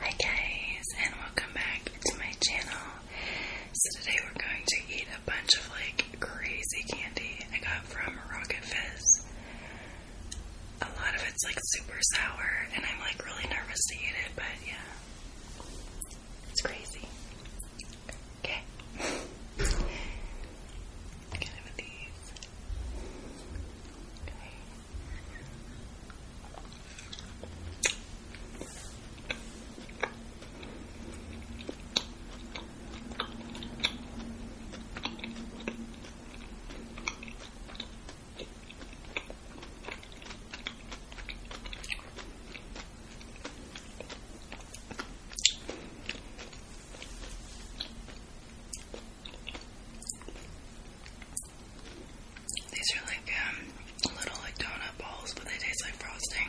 Hi guys, and welcome back to my channel. So today we're going to eat a bunch of like crazy candy I got from Rocket Fizz. A lot of it's like super sour, and I'm like really nervous to eat it, but yeah. It's crazy. Okay. Get it with these. Okay. These are like um, little like donut balls, but they taste like frosting.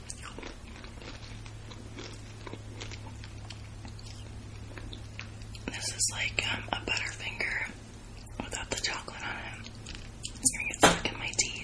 This is like um, a Butterfinger without the chocolate on it. It's stuck in my teeth.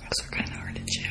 Those are kind of hard to chew.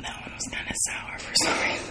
That one was kind of sour for some reason.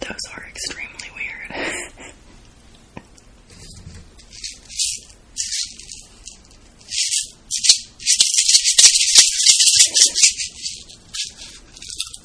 Those are extremely weird.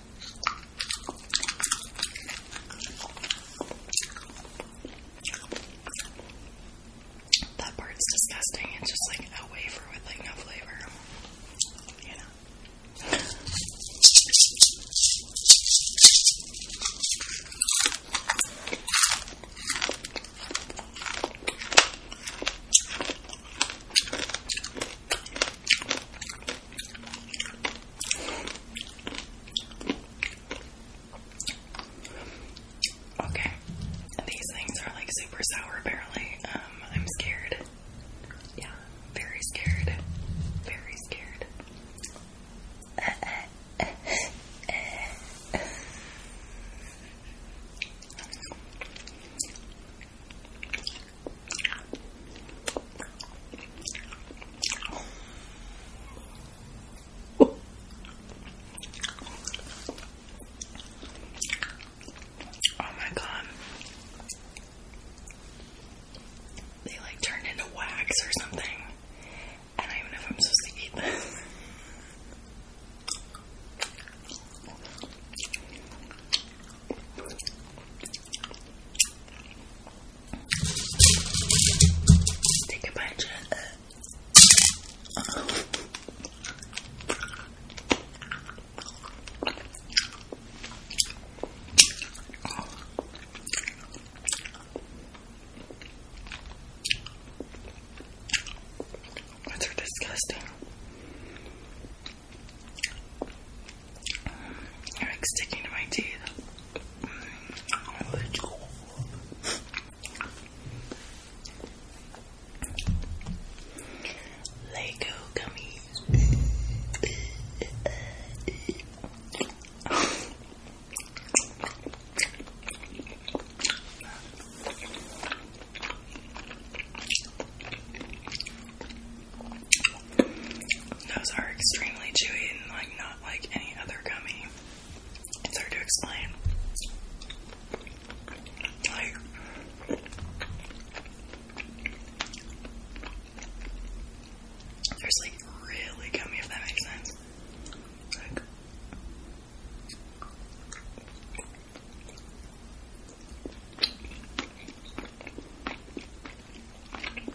That part's disgusting. It's just like a wafer with like no flavor. You know. Okay. These things are like super sour apparently. Um, I'm scared. Yeah, very scared. Very scared. Oh my god. They like turned into wax or something. I even if I'm supposed to eat this. Take a bite, uh, That's are disgusting. You're like sticking to my teeth. Lego gummies. Those are extremely chewy and like not like any other gummy. It's hard to explain. there's like really gummy if that makes sense. They're really good.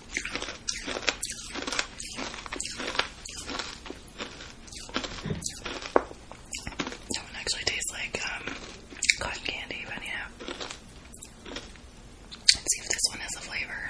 That one actually tastes like um, cotton candy, but yeah. Let's see if this one has a flavor.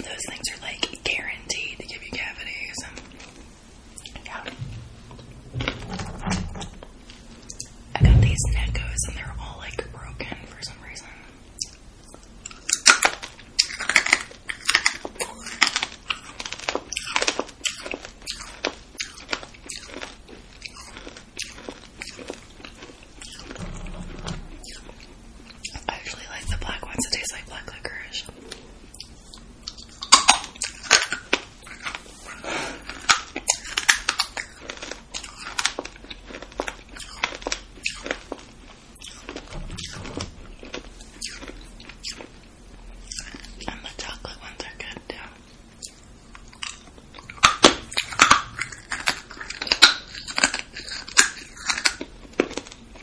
Those things are like guaranteed to give you cavities. I got these Neckos and they're all like broken for some reason. I actually like the black ones. It tastes like black licorice. And the chocolate ones are good too.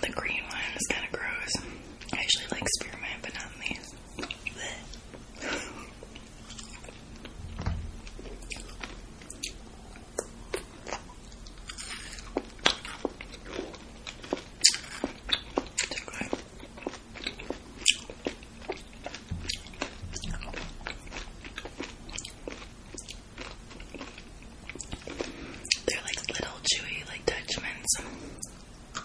The green one is kind of gross. I actually like spearmint, but not these. They're like little chewy, like Dutchman's. Okay.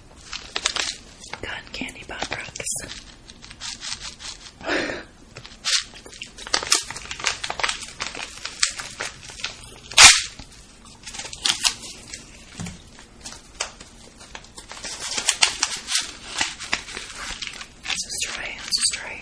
Cotton candy pop rocks. let's try Let's try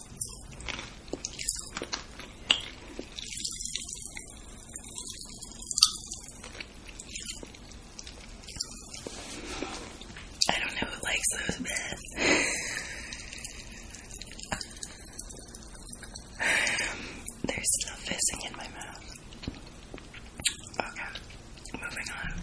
I don't know who likes those There's still fizzing in my mouth. Okay, moving on.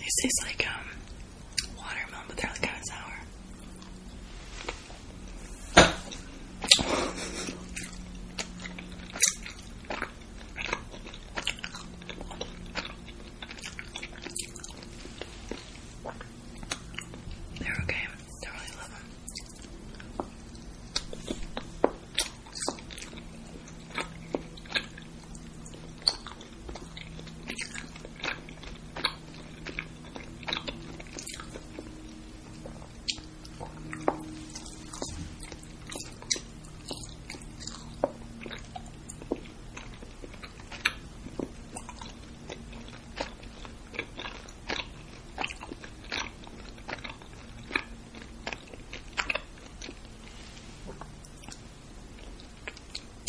This tastes like um watermelon, but they're like kind of sour. They're okay. I love them.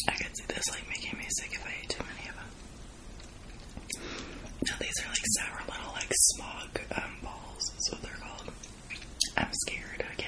I could see this like making me sick if I ate too many of them. Now these are like sour little like smog um, balls. is what they're called. I'm scared again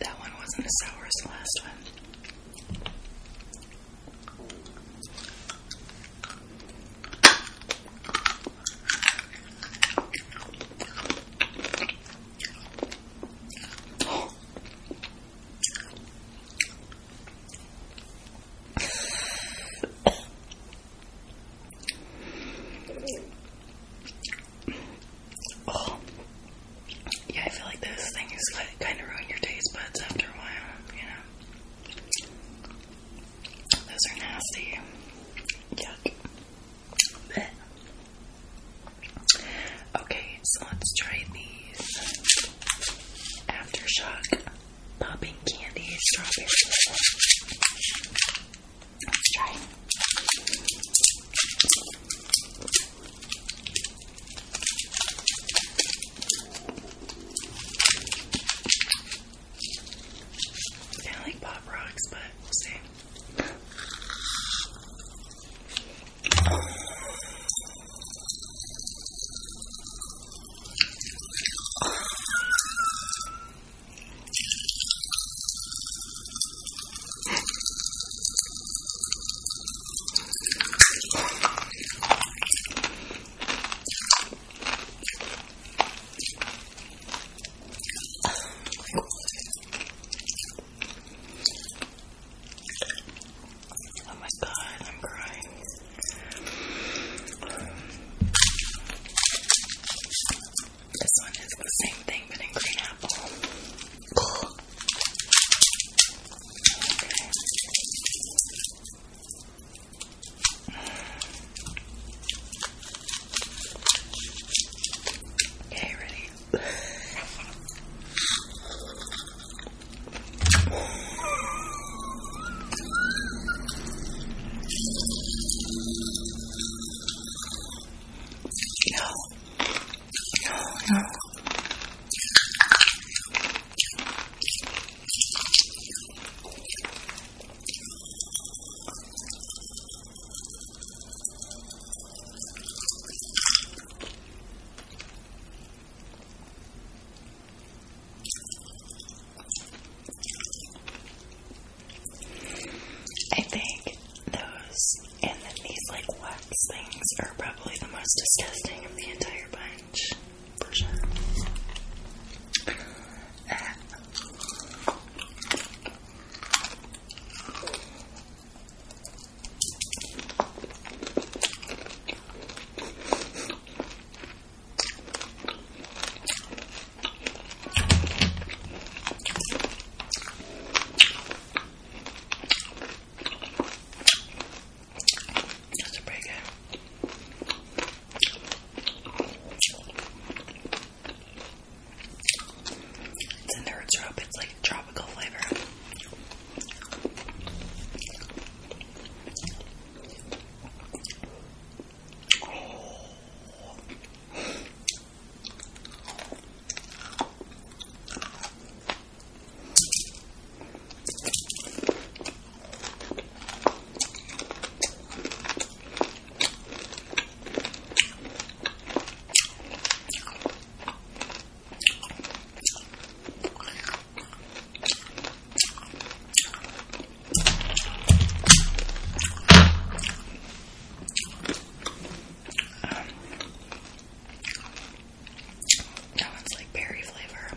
That one wasn't as sour as the last one. Oh. Yeah, I feel like those things kind of ruin your taste buds after a while, you know. Those are nasty. Yuck okay, so let's try these aftershock popping candy strawberries. Let's try. Kind of like Pop Rocks, but we'll see. Oh my god, I'm crying. This one is the same thing but in green apple. Okay, ready? No, no, no. I think those and these like wax things are probably the most disgusting of the entire bunch, for sure. Uh, that's pretty good. It's in nerd syrup, it's like tropical flavor. Um, that one's like berry flavor.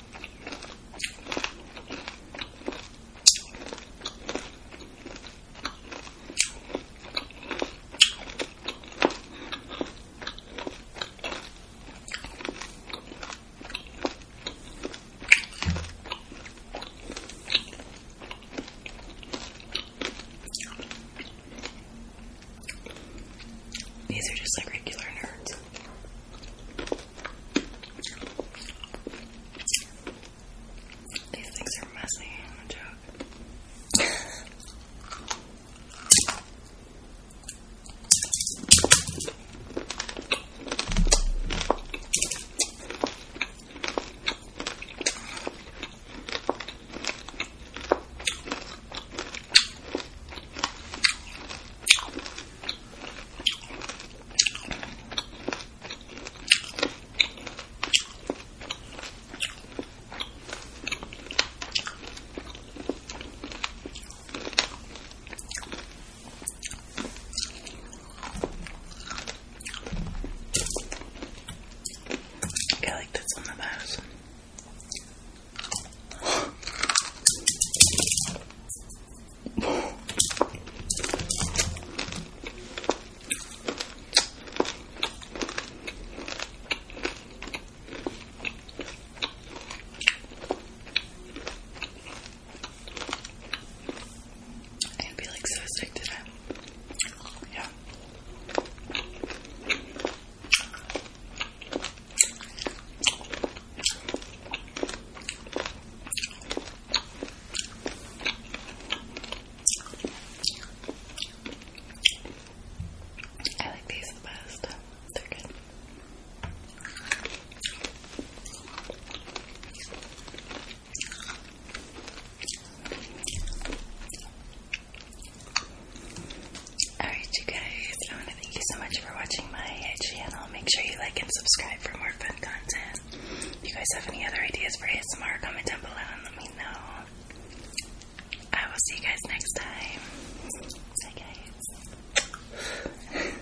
These are just like regular nerds. These things are messy, i joke. I like this one the best. I'd be like so sick today. Yeah. I like these the best. They're good. Alright you guys, thank you so much for watching my channel. Make sure you like and subscribe for more fun content. If you guys have any other ideas for ASMR, comment down below and let me know. I will see you guys next time. Bye, guys.